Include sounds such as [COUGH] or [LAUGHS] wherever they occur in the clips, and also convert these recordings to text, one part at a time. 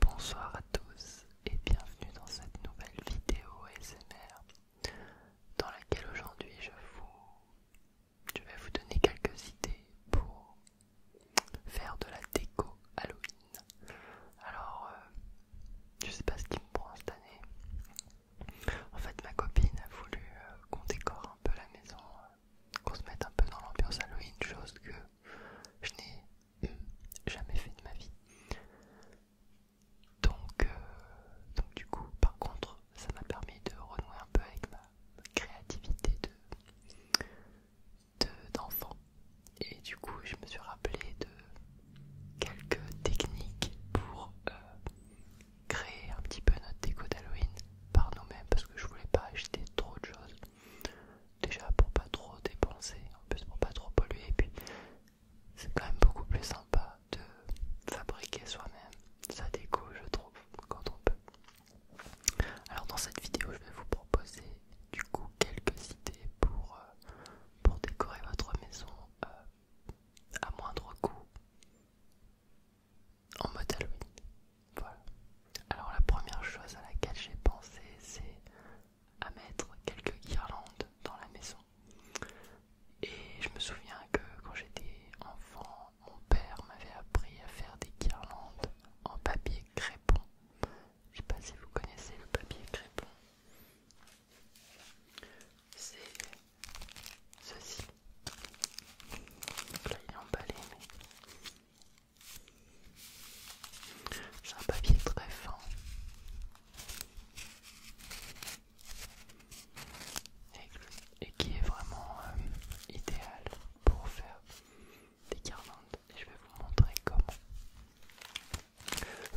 Bonsoir à tous et bienvenue dans cette nouvelle vidéo SMR, dans laquelle aujourd'hui je vous je vais vous donner quelques idées pour faire de la déco Halloween. Alors euh, je sais pas ce qui me prend cette année. En fait ma copine a voulu euh, qu'on décore un peu la maison, euh, qu'on se mette un peu dans l'ambiance Halloween, chose que je n'ai jamais fait de ma vie. Donc, euh, donc du coup, par contre, ça m'a permis de renouer un peu avec ma créativité d'enfant. De, d'enfant. Et du coup, je me suis rappelé de quelques techniques pour euh, créer un petit peu notre déco d'Halloween par nous-mêmes parce que je voulais pas acheter trop de choses. Déjà pour pas trop dépenser, en plus pour pas trop polluer, et puis c'est quand même beaucoup plus sympa de fabriquer soi-même Ça déco, je trouve, quand on peut. Alors dans cette vidéo, je vais vous proposer du coup quelques idées pour, euh, pour décorer votre maison euh, à moindre coût en mode Halloween. Voilà. Alors la première chose à laquelle j'ai pensé, c'est à mettre quelques guirlandes dans la maison. Et je me souviens que quand j'étais enfant, mon père m'avait appris à faire des guirlandes en papier crépon. Je sais pas si vous connaissez le papier crépon. C'est ceci. Donc là, il est emballé, mais c'est un papier très fin. Et, qui est vraiment euh, idéal pour faire des guirlandes. Et je vais vous montrer comment.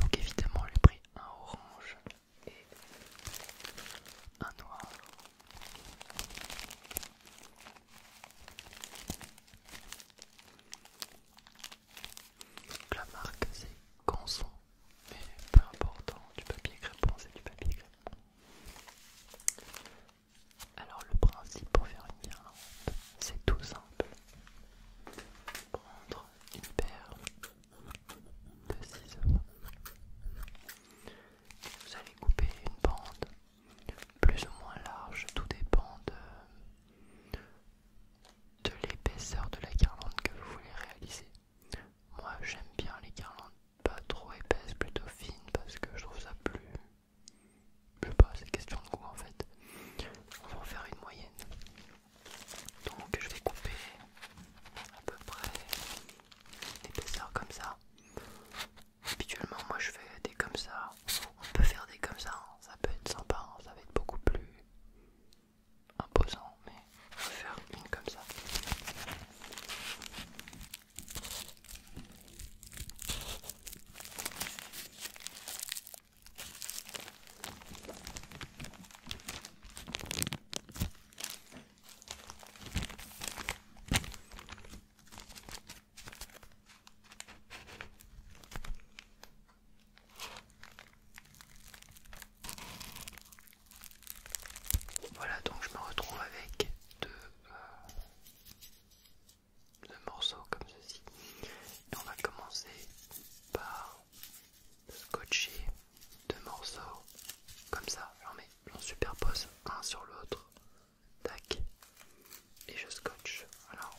Donc évidemment, j'ai pris un orange et un noir. La marque c'est Canson, mais peu importe, hein, du papier crépon c'est du papier crépon. Alors le principe pour faire une guirlande, c'est tout simple. Prendre une paire de ciseaux. Vous allez couper une bande plus ou moins large, tout dépend de de l'épaisseur de la guirlande que vous voulez réaliser. Moi j'aime bien les garlandes pas trop épaisses, plutôt fines parce que je trouve ça plus... Je sais pas, c'est question de goût en fait. On va en faire une moyenne. Donc je vais couper à peu près l'épaisseur comme ça. Habituellement moi je fais des comme ça on peut faire des comme ça, hein. ça peut être sympa, hein. ça va être beaucoup plus imposant, mais on peut faire une comme ça. Voilà, donc je me retrouve avec euh, deux, morceaux comme ceci. Et on va commencer par scotcher deux morceaux comme ça. J'en j'en superpose un sur l'autre. Tac et je scotche. Alors.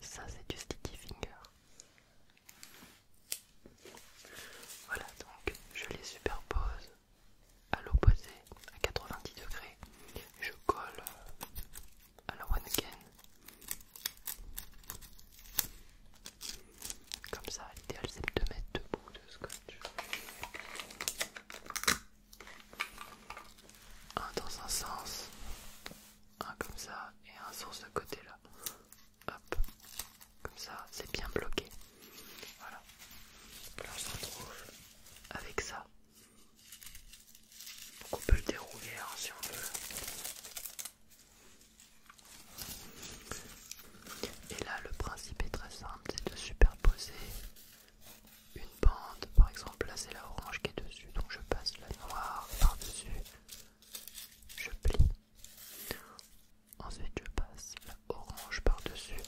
Ça c'est du sticky finger. Voilà donc je les superpose à l'opposé à 90 degrés. Je colle à la one can Comme ça, l'idéal c'est de mettre bouts de scotch. Un dans un sens, un comme ça et un sur ce côté-là comme ça, c'est bien bloqué. Voilà. Là, on se retrouve avec ça. on peut le dérouler hein, si on veut. Et là, le principe est très simple, c'est de superposer une bande. Par exemple, là, c'est la orange qui est dessus, donc je passe la noire par-dessus je plie. Ensuite, je passe la orange par-dessus.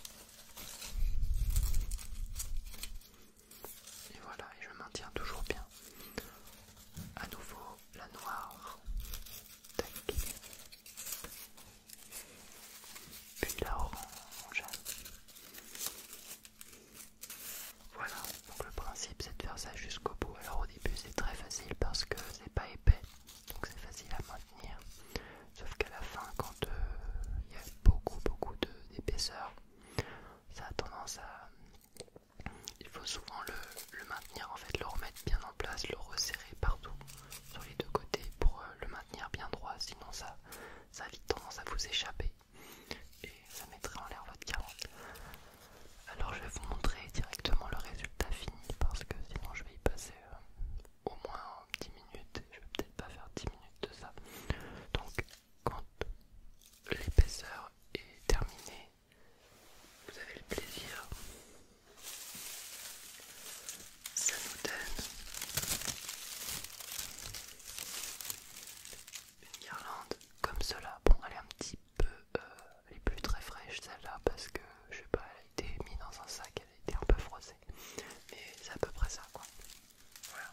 Et voilà, et je maintiens toujours bien. À nouveau, la noire. Tac. Puis la orange. Voilà, donc le principe c'est de faire ça jusqu'au bout. Alors au début c'est très facile parce que c'est pas épais, donc c'est facile à maintenir. Sauf qu'à la fin, quand euh, il y a beaucoup beaucoup d'épaisseur, ça a tendance à... Il faut souvent le, maintenir, en fait le remettre bien en place, le resserrer partout sur les deux côtés pour euh, le maintenir bien droit, sinon ça, ça a vite tendance à vous échapper et ça mettrait en l'air votre carotte. Alors je vais vous montrer directement le résultat fini parce que sinon je vais y passer euh, au moins 10 minutes je vais peut-être pas faire 10 minutes de ça. Donc quand l'épaisseur est terminée, vous avez le plaisir. Ça nous donne une guirlande comme cela. Bon, elle un petit peu, euh, elle est plus très fraîche celle-là parce que je sais pas, elle a été mise dans un sac, elle a été un peu froissée, mais c'est à peu près ça quoi. Voilà.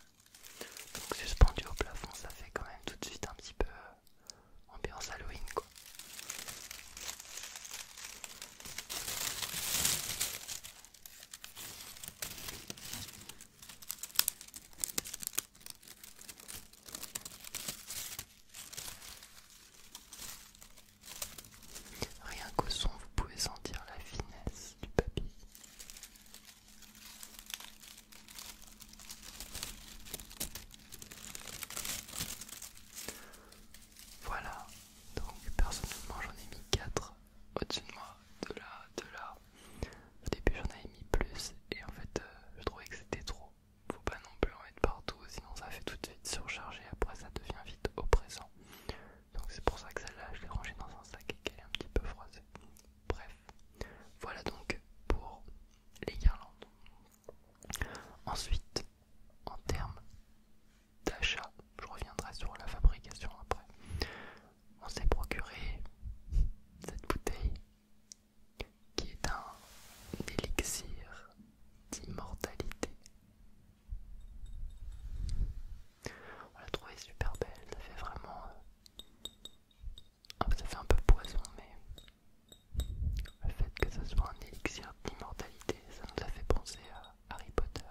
Donc suspendu au plafond, ça fait quand même tout de suite un petit peu euh, ambiance Halloween quoi. Rien qu'au son, vous pouvez sentir la finesse du papier. Voilà, donc personnellement j'en ai mis 4 au-dessus de moi, de là, de là. Au début j'en avais mis plus et en fait euh, je trouvais que c'était trop faut pas non plus en mettre partout, sinon ça fait tout de suite surcharger, après ça devient vite oppressant. Donc c'est pour ça que celle-là, je l'ai rangée dans un sac et qu'elle est un petit peu froissée. Bref, voilà donc pour les guirlandes. Ensuite, en termes d'achat, je reviendrai sur la fabrication après. On s'est procuré cette bouteille qui est un élixir d'immortalité. On l'a trouvé super belle, ça fait vraiment... Euh, ça fait un peu poison, mais le fait que ce soit un élixir d'immortalité, ça nous a fait penser à Harry Potter.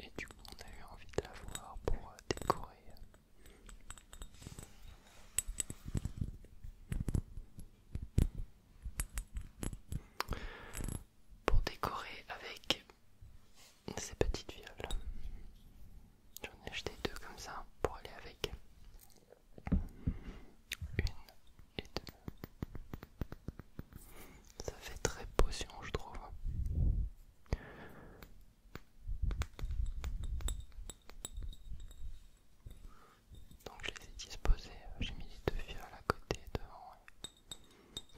Et du coup, on a eu envie de la voir pour euh, décorer euh, pour décorer avec ces petites violes. J'en ai acheté deux comme ça pour aller avec une et deux. Ça fait très potion, je trouve. Donc je les ai disposés, euh, j'ai mis les deux violes à côté devant.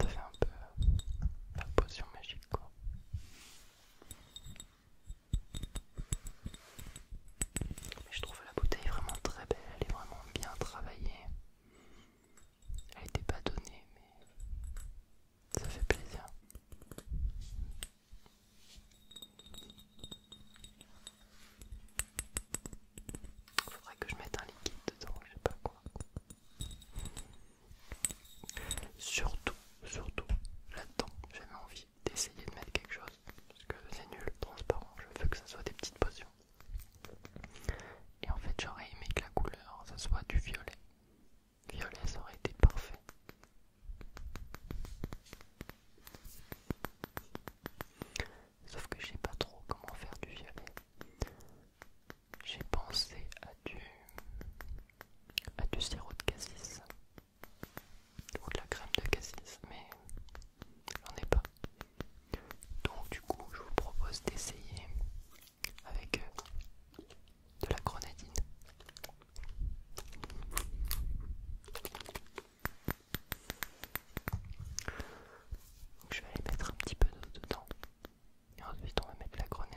ça fait un peu euh, la potion magique quoi. Mais je trouve la bouteille vraiment très belle, elle est vraiment bien travaillée. Elle n'était pas donnée mais ça fait plaisir. Faudrait que je mette un liquide dedans, je sais pas quoi. Surtout, surtout, là-dedans, j'avais envie d'essayer de mettre quelque chose. Parce que c'est nul, transparent, je veux que ça soit des petites potions. Et en fait, j'aurais aimé que la couleur, ça soit du violet. Violet, ça aurait été parfait. Sauf que je sais pas trop comment faire du violet. J'ai pensé à du, à du sirop de cassis ou de la crème de cassis, mais j'en ai pas. Donc du coup, je vous propose d'essayer avec euh, de la grenadine je vais aller mettre un petit peu d'eau dedans. Et ensuite on va mettre la grenade.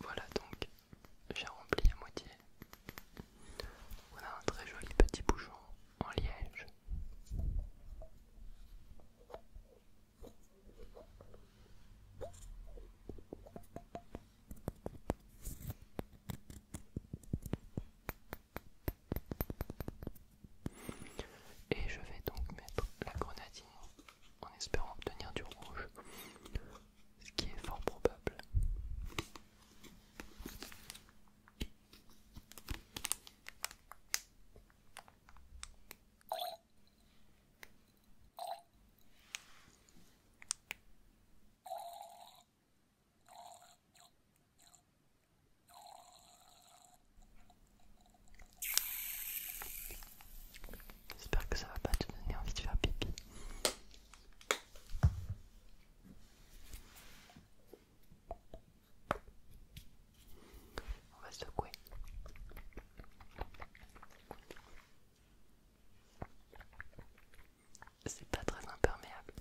Voilà donc, j'ai rempli à moitié. On un très joli petit bouchon en liège. Et je vais donc mettre la grenadine en espérant obtenir du rouge, ce qui est fort probable. J'espère que ça va pas te donner envie de faire pipi. On va secouer. C'est pas très imperméable.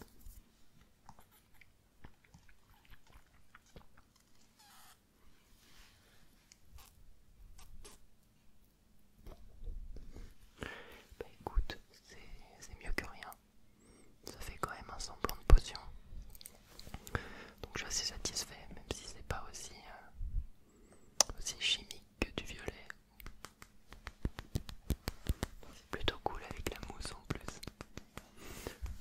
Bah écoute, c'est mieux que rien. Ça fait quand même un semblant de potion. Donc je suis assez satisfait, même si c'est pas aussi, euh, aussi chimique que du violet. C'est plutôt cool avec la mousse en plus.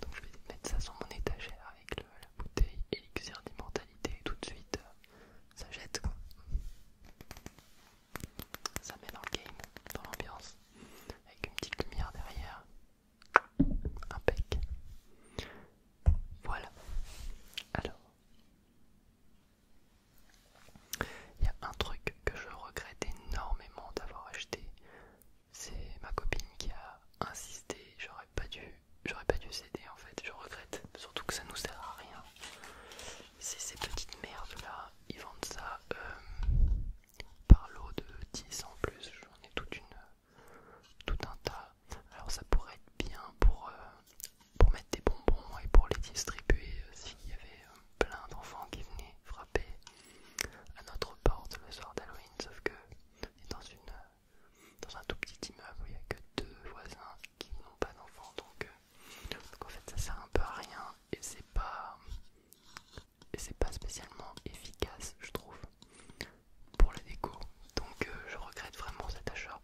Donc je vais mettre ça sur mon étagère avec le, bouteille élixir d'immortalité tout de suite euh, ça jette quoi. Ça met dans game, dans l'ambiance, avec une petite lumière derrière. impeccable. Voilà. Alors. Il y a un truc que je regrette énormément d'avoir acheté c'est ma copine qui a insisté, j'aurais pas dû, j'aurais pas dû céder en fait, je regrette, surtout que ça nous sert à rien. C'est ces petites merdes là, ils vendent ça euh, par lot de 10 en plus, j'en ai toute une, tout un tas. Alors ça pourrait être bien pour, euh, pour mettre des bonbons et pour les distribuer euh, s'il y avait plein d'enfants qui venaient frapper à notre porte le soir d'Halloween, sauf que c'est dans une dans un tout petit immeuble où il n'y a que deux voisins qui n'ont pas d'enfants euh, donc, en fait ça sert un peu à rien et c'est pas et c'est pas spécialement efficace je trouve pour la déco donc euh, je regrette vraiment cet achat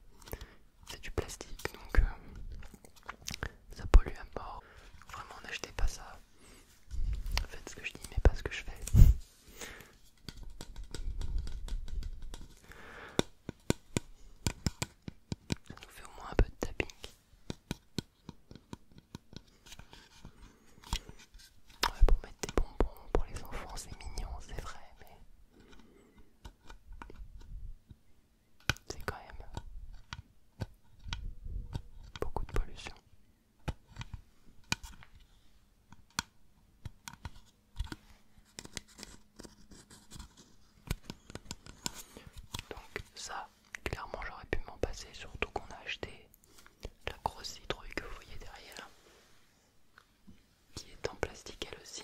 c'est du plastique donc euh, ça pollue un peu. vraiment n'achetez pas ça faites ce que je dis mais pas ce que je fais ça nous fait au moins un peu de tapping. Ouais, pour mettre des bonbons pour les enfants, c'est mignon, c'est vrai, mais c'est quand même beaucoup de pollution. Donc ça, clairement j'aurais pu m'en passer, surtout qu'on a acheté la grosse citrouille que vous voyez derrière, qui est en plastique elle aussi.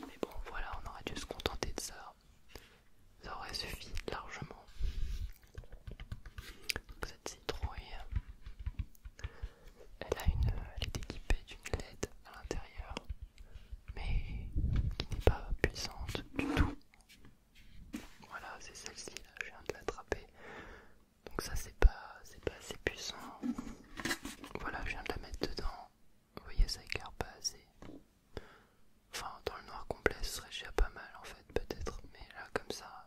Mais bon voilà, on aurait dû se contenter de ça. Ça aurait suffi largement cette citrouille, elle, a une, elle est équipée d'une LED à l'intérieur, mais qui n'est pas puissante du tout. Voilà, c'est celle-ci là, je viens de l'attraper. Donc ça c'est pas, pas assez puissant. Voilà, je viens de la mettre dedans. Vous voyez, ça écarte pas assez. Enfin, dans le noir complet, ce serait déjà pas mal en fait, peut-être. Mais là, comme ça,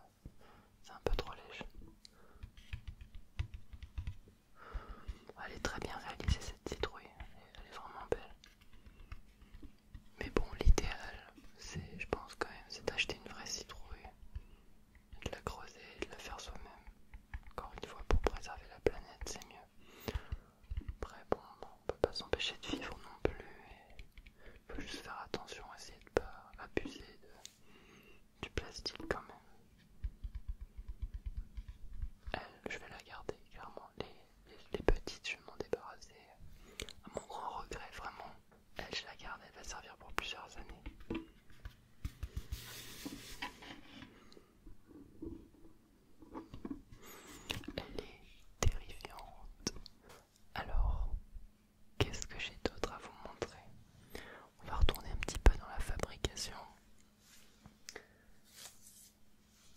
c'est un peu trop léger. Elle est très bien réalisée cette citrouille, elle est vraiment belle. Mais bon, l'idéal, c'est, je pense quand même, c'est d'acheter une vraie citrouille, de la creuser de la faire soi-même. Encore une fois, pour préserver la planète, c'est mieux. Après, bon, on peut pas s'empêcher de vivre non plus. Il faut juste faire attention, essayer de pas abuser du plastique quand même. Elle, euh, je vais la garder, clairement. Les, les, petites, je vais m'en débarrasser. À mon grand regret, vraiment. Elle, je la garde, elle va servir pour plusieurs années. Elle est terrifiante. Alors, Qu'est-ce que j'ai d'autre à vous montrer On va retourner un petit peu dans la fabrication.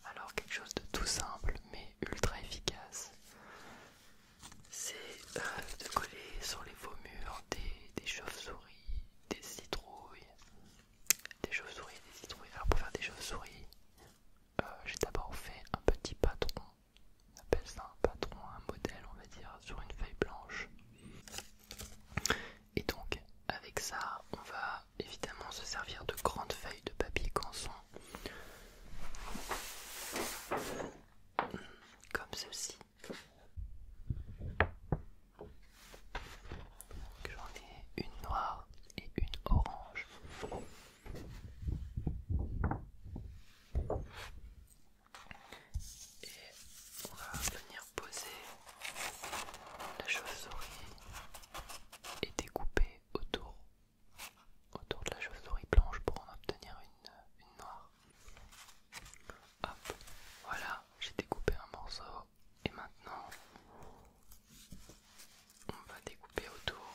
Alors quelque chose de tout simple mais ultra efficace, c'est euh, de coller sur les faux murs des, chauves-souris, des citrouilles, des chauves-souris, des citrouilles. Alors pour faire des chauves-souris, euh, j'ai d'abord fait un petit patron on appelle ça un patron, un modèle on va dire, sur une feuille blanche. Et donc avec ça, on va évidemment se servir de grandes feuilles de papier canson. Comme ceci. J'en ai une noire et une orange et on va venir poser la chauve-souris et découper autour, autour de la chauve-souris blanche pour en obtenir une, une noire. Hop, voilà, j'ai découpé un morceau et maintenant on va découper autour.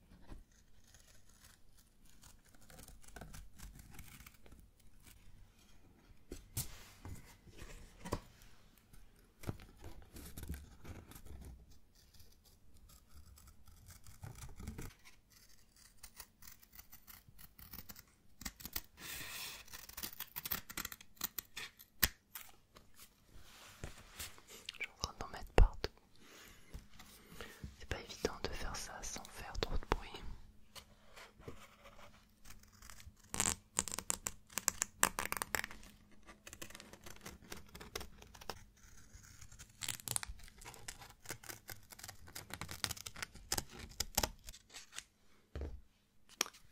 Je suis en train d'en mettre partout. C'est pas évident de faire ça sans faire trop de bruit.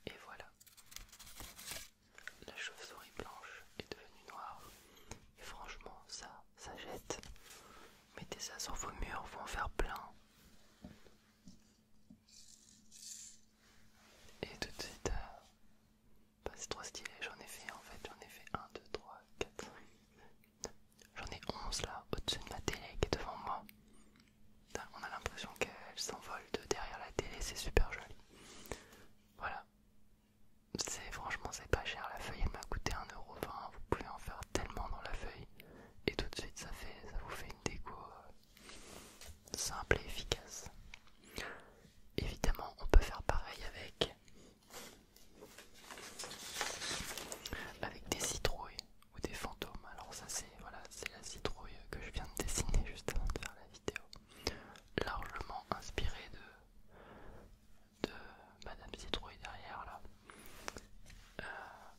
Et voilà, la chauve-souris blanche est devenue noire franchement, ça, ça jette. Mettez ça sur vos murs, vous en faire plein. Et tout de suite, euh, bah, c'est trop stylé. J'en ai fait en fait, j'en ai fait 1, 2, 3, 4. J'en ai 11 là, au-dessus de ma télé qui est devant moi. On a l'impression qu'elle s'envole de derrière la télé, c'est super joli. Voilà, c'est franchement c'est pas cher la feuille elle m'a coûté 1,20€, vous pouvez en faire tellement dans la feuille et tout de suite ça fait ça vous fait une déco euh, simple et efficace évidemment on peut faire pareil avec avec des citrouilles ou des fantômes alors ça c'est voilà c'est la citrouille que je viens de dessiner juste avant de faire la vidéo largement inspirée de de Madame Citrouille derrière là. Euh,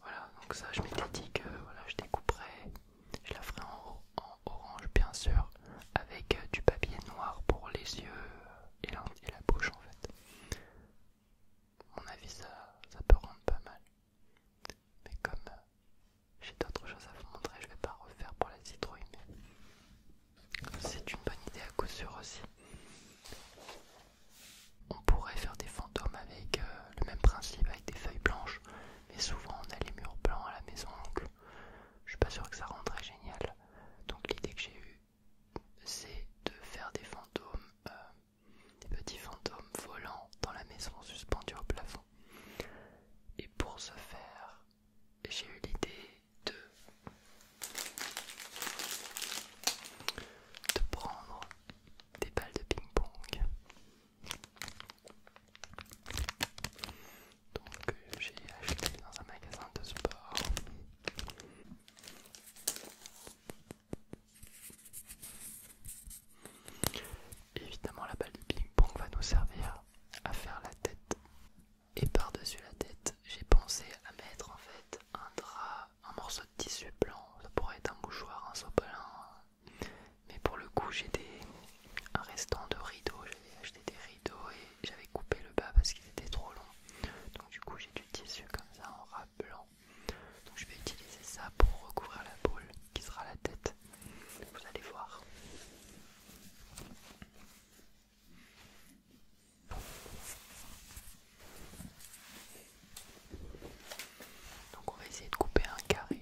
voilà, donc ça je m'étais dit que voilà, je découperais, je la ferai en, orange bien sûr, avec euh, du papier noir pour les yeux et la, bouche en fait. mon avis ça, ça peut rendre pas mal. Mais comme euh, j'ai d'autres choses à vous montrer, je vais pas refaire pour la citrouille. C'est une bonne idée à coup sûr aussi. On pourrait faire des fantômes avec euh, le même principe, avec des feuilles blanches, mais souvent on a les murs blancs à la maison, donc je suis pas sûr que ça rendrait génial. Donc l'idée que j'ai eue, c'est de faire des fantômes, euh, des petits fantômes volants dans la maison suspendus au plafond. Et pour ce faire, j'ai eu l'idée de, prendre des balles de ping-pong. Donc j'ai acheté dans un magasin de sport. Évidemment la balle de ping-pong va nous servir à faire la tête et par-dessus la tête, j'ai pensé à mettre en fait un drap, un morceau de tissu blanc, ça pourrait être un bouchoir, un sopalin. Mais pour le coup, j'ai des un restant de rideaux, j'avais acheté des rideaux et j'avais coupé le bas parce qu'il était trop long. Donc du coup, j'ai du tissu comme ça en ras blanc. Donc je vais utiliser ça pour recouvrir la boule qui sera la tête. Vous allez voir. Donc on va essayer de couper un carré.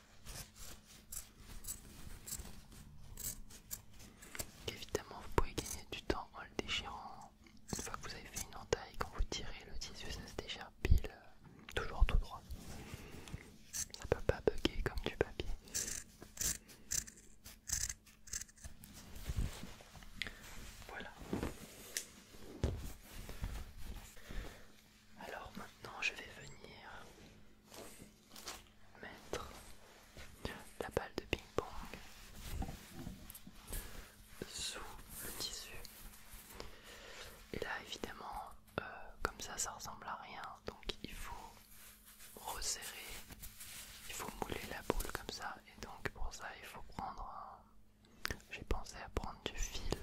Évidemment, vous pouvez gagner du temps en le déchirant. Une fois que vous avez fait une entaille, quand vous tirez le tissu, ça se déchire pile, euh, toujours tout droit. Ça peut pas bugger comme du papier. Voilà. Alors maintenant, je vais venir mettre la balle de ping-pong sous le tissu. Et là, évidemment, euh, comme ça, ça ressemble à rien. Donc, il faut resserrer, il faut mouler la boule comme ça. Et donc, pour ça, il faut prendre J'ai pensé à prendre du fil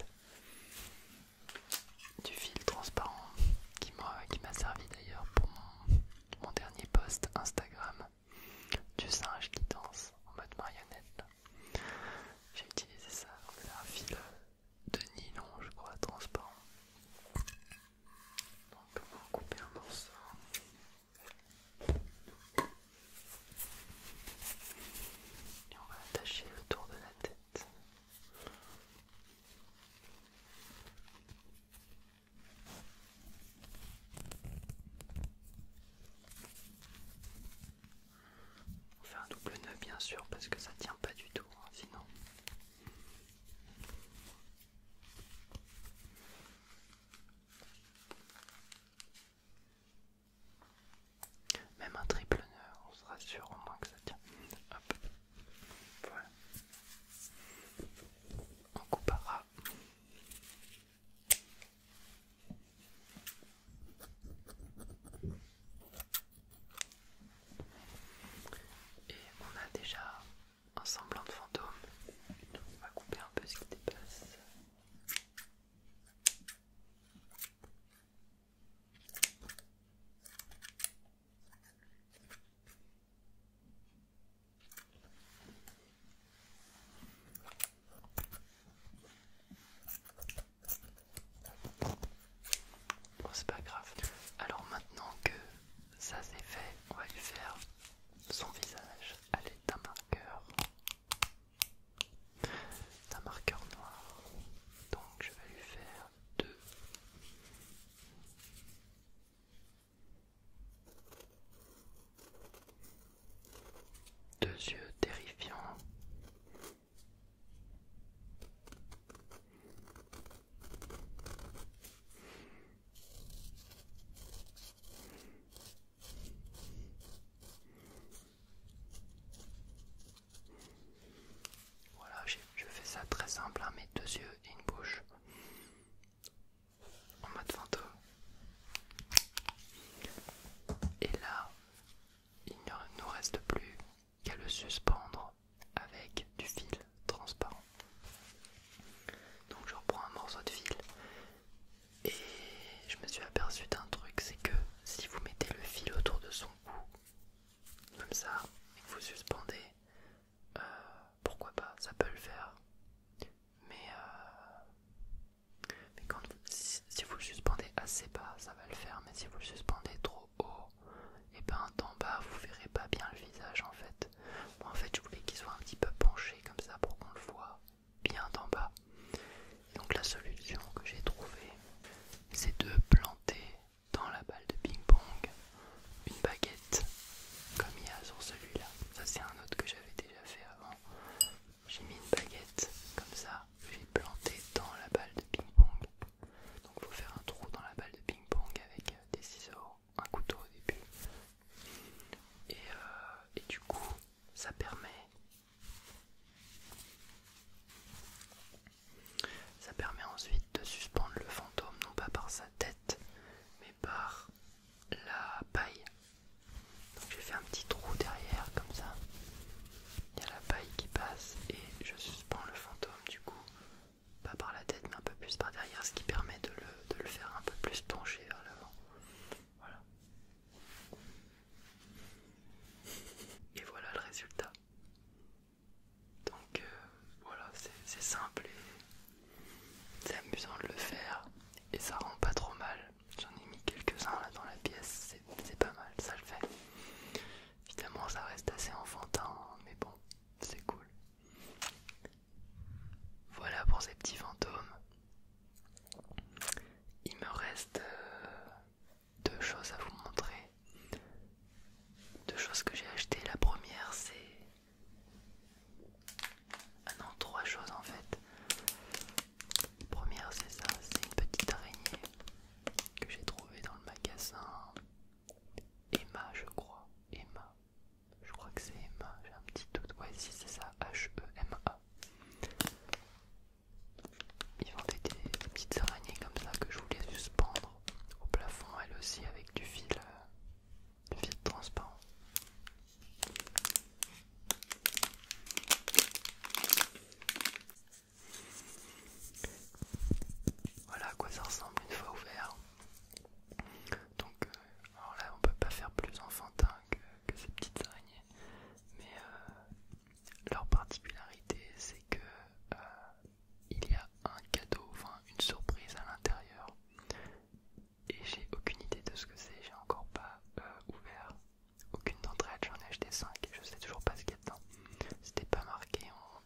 du fil transparent qui m'a servi d'ailleurs pour mon, dernier post Instagram du singe qui danse en mode marionnette. J'ai utilisé ça, un fil de nylon, je crois, transparent. Donc on va couper un morceau. Et on va attacher le tour de la tête. On fait un double nœud bien sûr parce que ça tient pas du tout hein, sinon. Même un triple nœud, on sera sûr au moins que ça tient. Voilà. On coupera. Et on a déjà un semblant de fantôme. on va couper un peu ce qui dépasse c'est pas grave. Alors maintenant que ça s'est fait, on va lui faire son visage à un marqueur. D'un marqueur noir. Donc je vais lui faire deux. yeux terrifiants. Voilà, je fais ça très simple, à hein, mes deux yeux et une bouche en mode fantôme. Et là, il ne nous reste plus qu'à le suspendre avec du fil transparent. Donc je reprends un morceau de fil et je me suis aperçu d'un truc, c'est que si vous mettez le fil autour de son cou, comme ça, et que vous suspendez, euh, pourquoi pas, ça peut le faire. Mais, euh, si, vous le suspendez assez bas, ça va le faire, mais si vous le suspendez trop haut, et eh ben en bas, vous verrez pas bien le visage en fait. Moi en fait, je voulais qu'il soit un petit peu penché comme ça pour qu'on le voit bien d'en bas. donc la solution que j'ai trouvée, c'est de planter dans la balle de ping-pong une baguette comme il y a sur celui-là. Ça c'est un autre que j'avais déjà fait avant. J'ai mis une baguette comme ça, j'ai planté dans la balle de ping-pong. Donc il faut faire un trou dans la balle de ping-pong avec euh, des ciseaux, un couteau au début. Et, euh, et du coup, ça permet ça permet ensuite de suspendre le fantôme non pas par sa tête, mais par la paille. Donc j'ai fait un petit trou derrière comme ça. Il y a la paille qui passe et je suspends le fantôme du coup, pas par la tête mais un peu plus par derrière, ce qui permet de le, faire un peu plus pencher vers l'avant. Voilà. Et voilà le résultat. Donc euh, voilà, c'est simple et c'est amusant de le faire et ça rend pas trop mal. J'en ai mis quelques-uns là dans la pièce, c'est pas mal, ça le fait. Évidemment ça reste assez enfantin, mais bon, c'est cool. Voilà pour ces petits fantômes. Il me reste euh, deux choses à vous montrer. Deux choses que j'ai achetées. La première, c'est. Ah non, trois choses en fait. La première, c'est ça c'est une petite araignée que j'ai trouvée dans le magasin Emma, je crois. Emma. Je crois que c'est Emma, j'ai un petit doute. Ouais, si c'est ça, H-E-M-A. Ils vendaient des petites araignées comme ça que je voulais suspendre au plafond elle aussi avec du fil, euh, du fil transparent. Voilà à quoi ça ressemble une fois ouvert. Donc, euh, alors là, on peut pas faire plus enfantin que, ces petites araignées, mais euh, leur particularité, c'est que il y a un cadeau, enfin une surprise à l'intérieur. Et j'ai aucune idée de ce que c'est, j'ai encore pas euh, ouvert aucune d'entre elles, j'en ai acheté 5 et je sais toujours pas ce qu'il y a dedans. C'était pas marqué,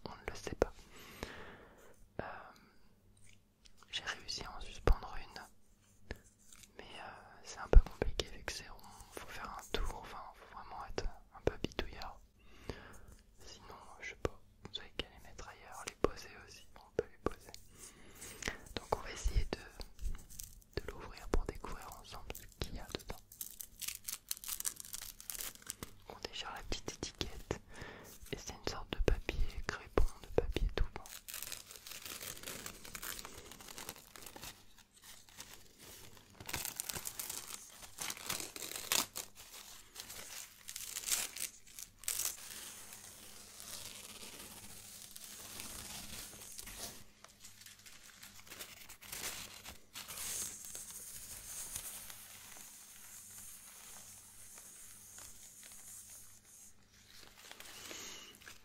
on, ne le sait pas. Euh, j'ai réussi à en suspendre une, mais euh, c'est un peu compliqué avec que c'est faut faire un tour, enfin faut vraiment être un peu bidouilleur. Sinon, euh, je sais pas, vous avez qu'à les mettre ailleurs, les poser aussi, on peut les poser. Donc on va essayer de, l'ouvrir pour découvrir ensemble ce qu'il y a dedans. On déchire la petite étiquette et c'est une sorte de papier crépon, de papier tout bon.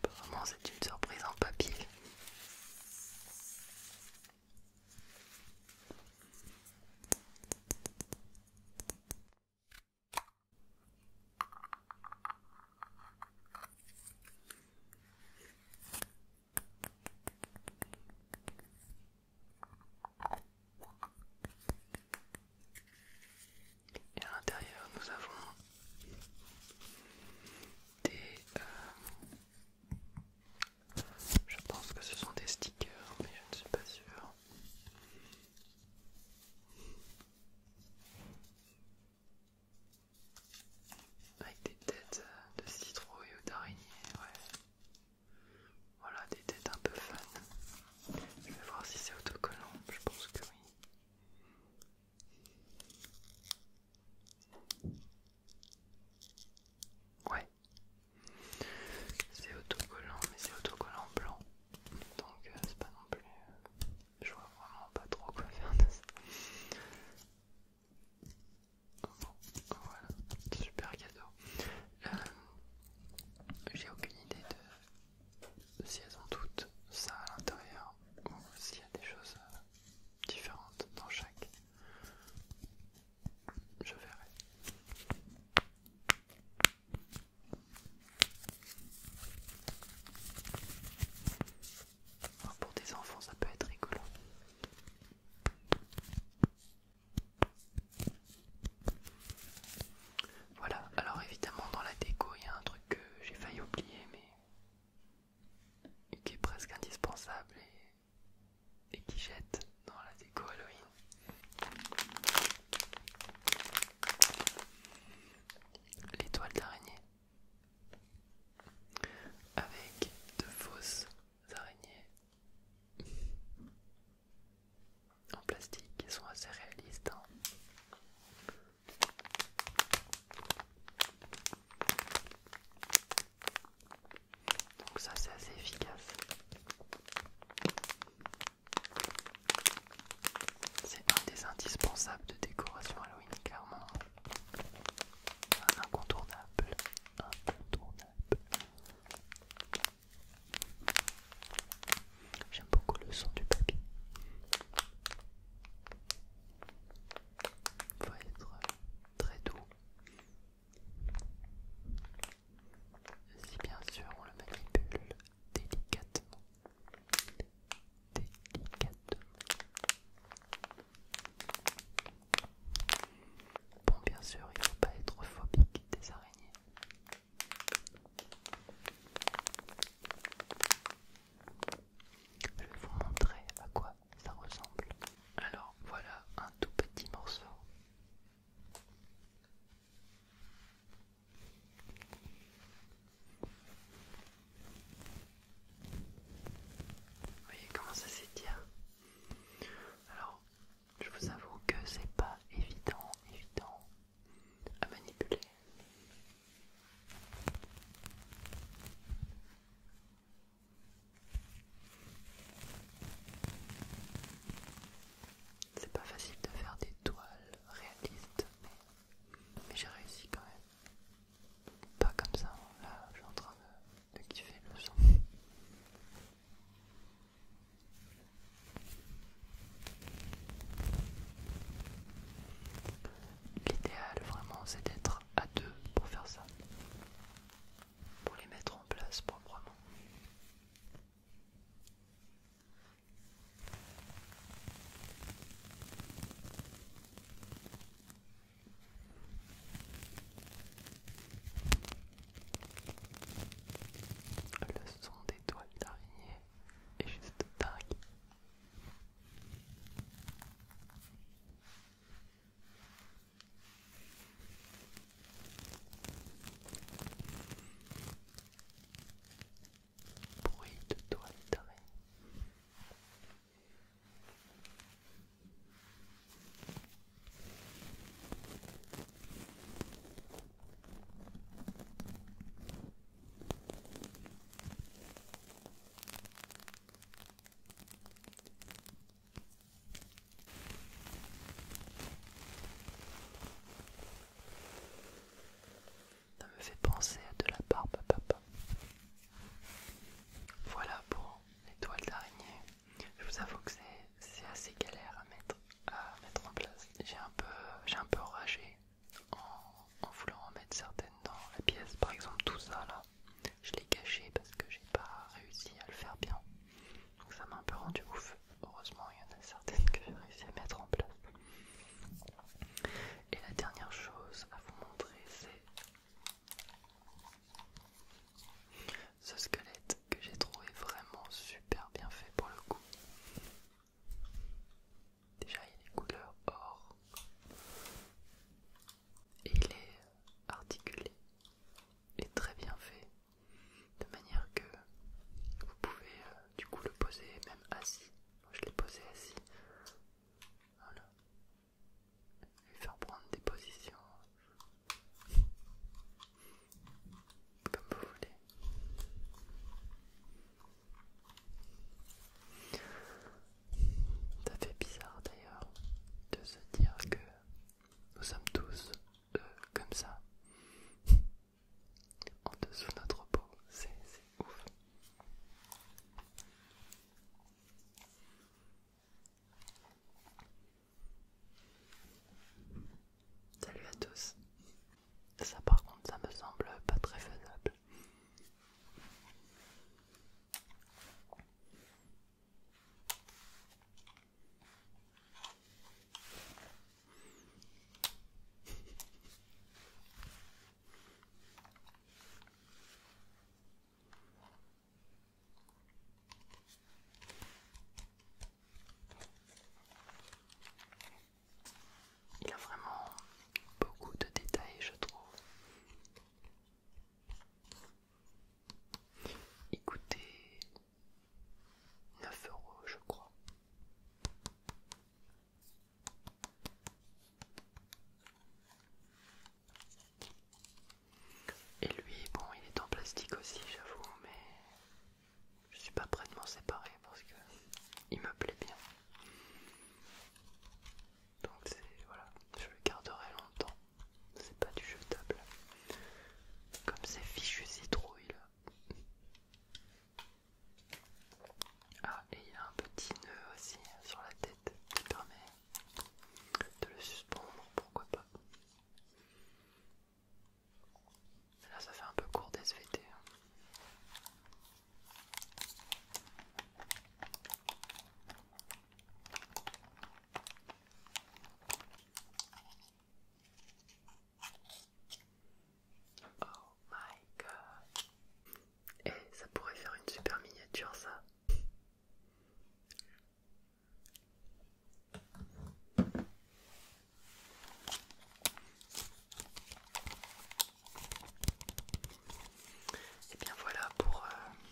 Vraiment, c'est une surprise en papier. Et à l'intérieur, nous avons des euh, je pense que ce sont des stickers, mais je ne suis pas sûre. Avec des têtes de citrouille ou d'araignée, ouais. Voilà, des têtes un peu fun. Je vais voir si c'est autocollant, je pense que oui. Ouais. C'est autocollant, mais c'est autocollant blanc. Donc euh, c'est pas non plus... Euh, je vois vraiment pas trop quoi faire de ça. voilà, super cadeau. Euh, j'ai aucune idée de si elles ont toutes ça à l'intérieur ou s'il y a des choses différentes dans chaque. Je verrai. Oh, pour des enfants, ça peut être rigolo. Voilà, alors évidemment dans la déco il y a un truc que j'ai failli oublier mais qui est presque indispensable et qui jette dans la déco Halloween. L'étoile d'araignée. Avec de fausses araignées en plastique qui sont assez réalistes. Hein. Donc ça c'est assez efficace. C'est un des indispensables de décoration Halloween, clairement. Un incontournable. Incontournable. J'aime beaucoup le son du papier. Faut être très doux si bien sûr on le manipule délicatement. Délicatement. Bon bien sûr il faut pas être phobique des araignées. Je vais vous montrer à quoi ça ressemble. Alors voilà un tout petit morceau voyez comment ça s'étire hein. Alors, je vous avoue que c'est pas évident, évident à manipuler. C'est pas facile de faire des toiles réalistes, mais, j'ai réussi quand même. Pas comme ça, là je suis en train de kiffer le son. L'idéal vraiment c'est d'être à deux pour faire ça, pour les mettre en place proprement. Le son des toiles d'araignée est juste dingue. Bruit de toilette d'arrêt. Ça me fait penser à de la barbe papa. Voilà pour les toiles d'araignée. Je vous avoue que c'est assez galère à mettre, en place. J'ai un peu, un enragé en, en voulant en mettre certaines dans la pièce. Par exemple tout ça là, je l'ai caché parce que j'ai pas réussi à le faire bien. Donc ça m'a un peu rendu ouf. Heureusement, il y en a certaines que j'ai réussi à mettre en place. Et la dernière chose à vous montrer, c'est ce squelette que j'ai trouvé vraiment super bien fait pour le coup. Déjà, il est couleur or et il est articulé et très bien fait de manière que vous pouvez euh, du coup le poser même assis. Moi, je l'ai posé assis. Voilà. Lui faire prendre des positions comme vous voulez. Ça fait bizarre d'ailleurs de se dire que nous sommes tous euh, comme ça. [LAUGHS] en dessous de notre peau, c'est ouf. Salut à tous. Ça par contre, ça me semble pas très faisable. Il a vraiment beaucoup de détails, je trouve. Écoutez 9 euros, je crois. Et lui, bon, il est en plastique aussi, j'avoue, mais je suis pas prêt de m'en séparer parce que il me plaît bien. Donc voilà, je le garderai longtemps. C'est pas du jetable. Comme ces fichus citrouilles ah, et il y a un petit nœud aussi sur la tête qui permet de le suspendre, pourquoi pas. là, ça fait un peu court des SVT. Oh my god. Eh, ça pourrait faire une super miniature ça. Et eh bien voilà pour euh,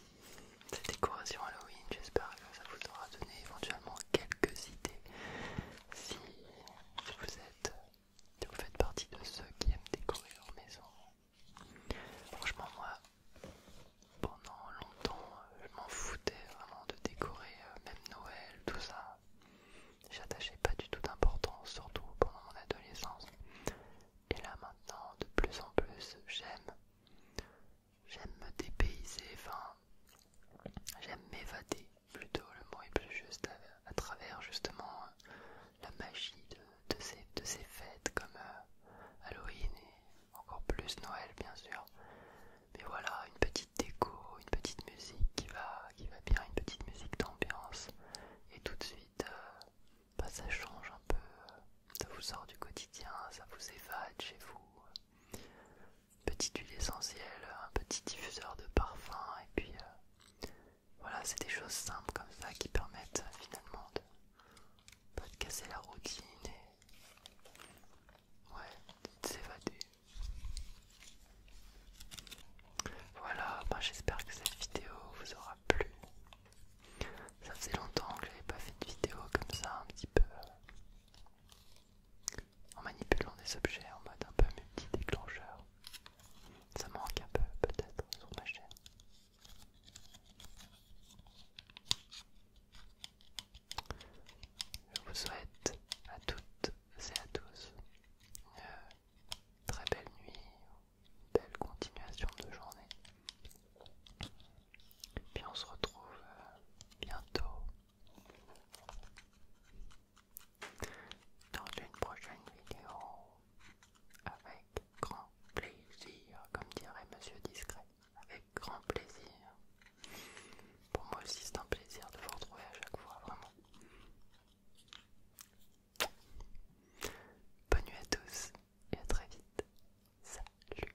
cette décoration Halloween. J'espère que ça vous aura donné éventuellement quelques idées si vous êtes vous faites partie de ceux qui aiment décorer leur maison. Franchement moi pendant longtemps je m'en foutais vraiment de décorer euh, même Noël tout ça. J'attachais pas du tout d'importance surtout pendant mon adolescence. Et là maintenant de plus en plus j'aime j'aime me dépayser, enfin j'aime m'évader plutôt le mot est plus juste à, travers justement euh, la magie de, ces, de ces fêtes comme euh, Halloween et encore plus Noël bien sûr. Mais voilà, une petite déco, une petite musique qui va, bien, une petite musique d'ambiance et tout de suite euh, bah, ça change un peu, ça vous sort du quotidien, ça vous évade chez vous petite huile essentielle, un petit diffuseur de parfum, et puis euh, voilà, c'est des choses simples comme ça qui permettent euh, finalement de pas de casser la routine et ouais, de s'évader. Voilà, ben, j'espère que cette vidéo vous aura plu. Ça faisait longtemps que j'avais pas fait de vidéo comme ça, un petit peu euh, en manipulant des objets en mode un peu multi-déclencheur. Ça manque un peu peut-être sur ma chaîne. Je vous souhaite à toutes et à tous une très belle nuit, belle continuation de journée. Et puis on se retrouve euh, bientôt dans une prochaine vidéo avec grand plaisir, comme dirait Monsieur Discret, avec grand plaisir. Pour moi aussi c'est un plaisir de vous retrouver à chaque fois, vraiment. Bonne nuit à tous et à très vite. Salut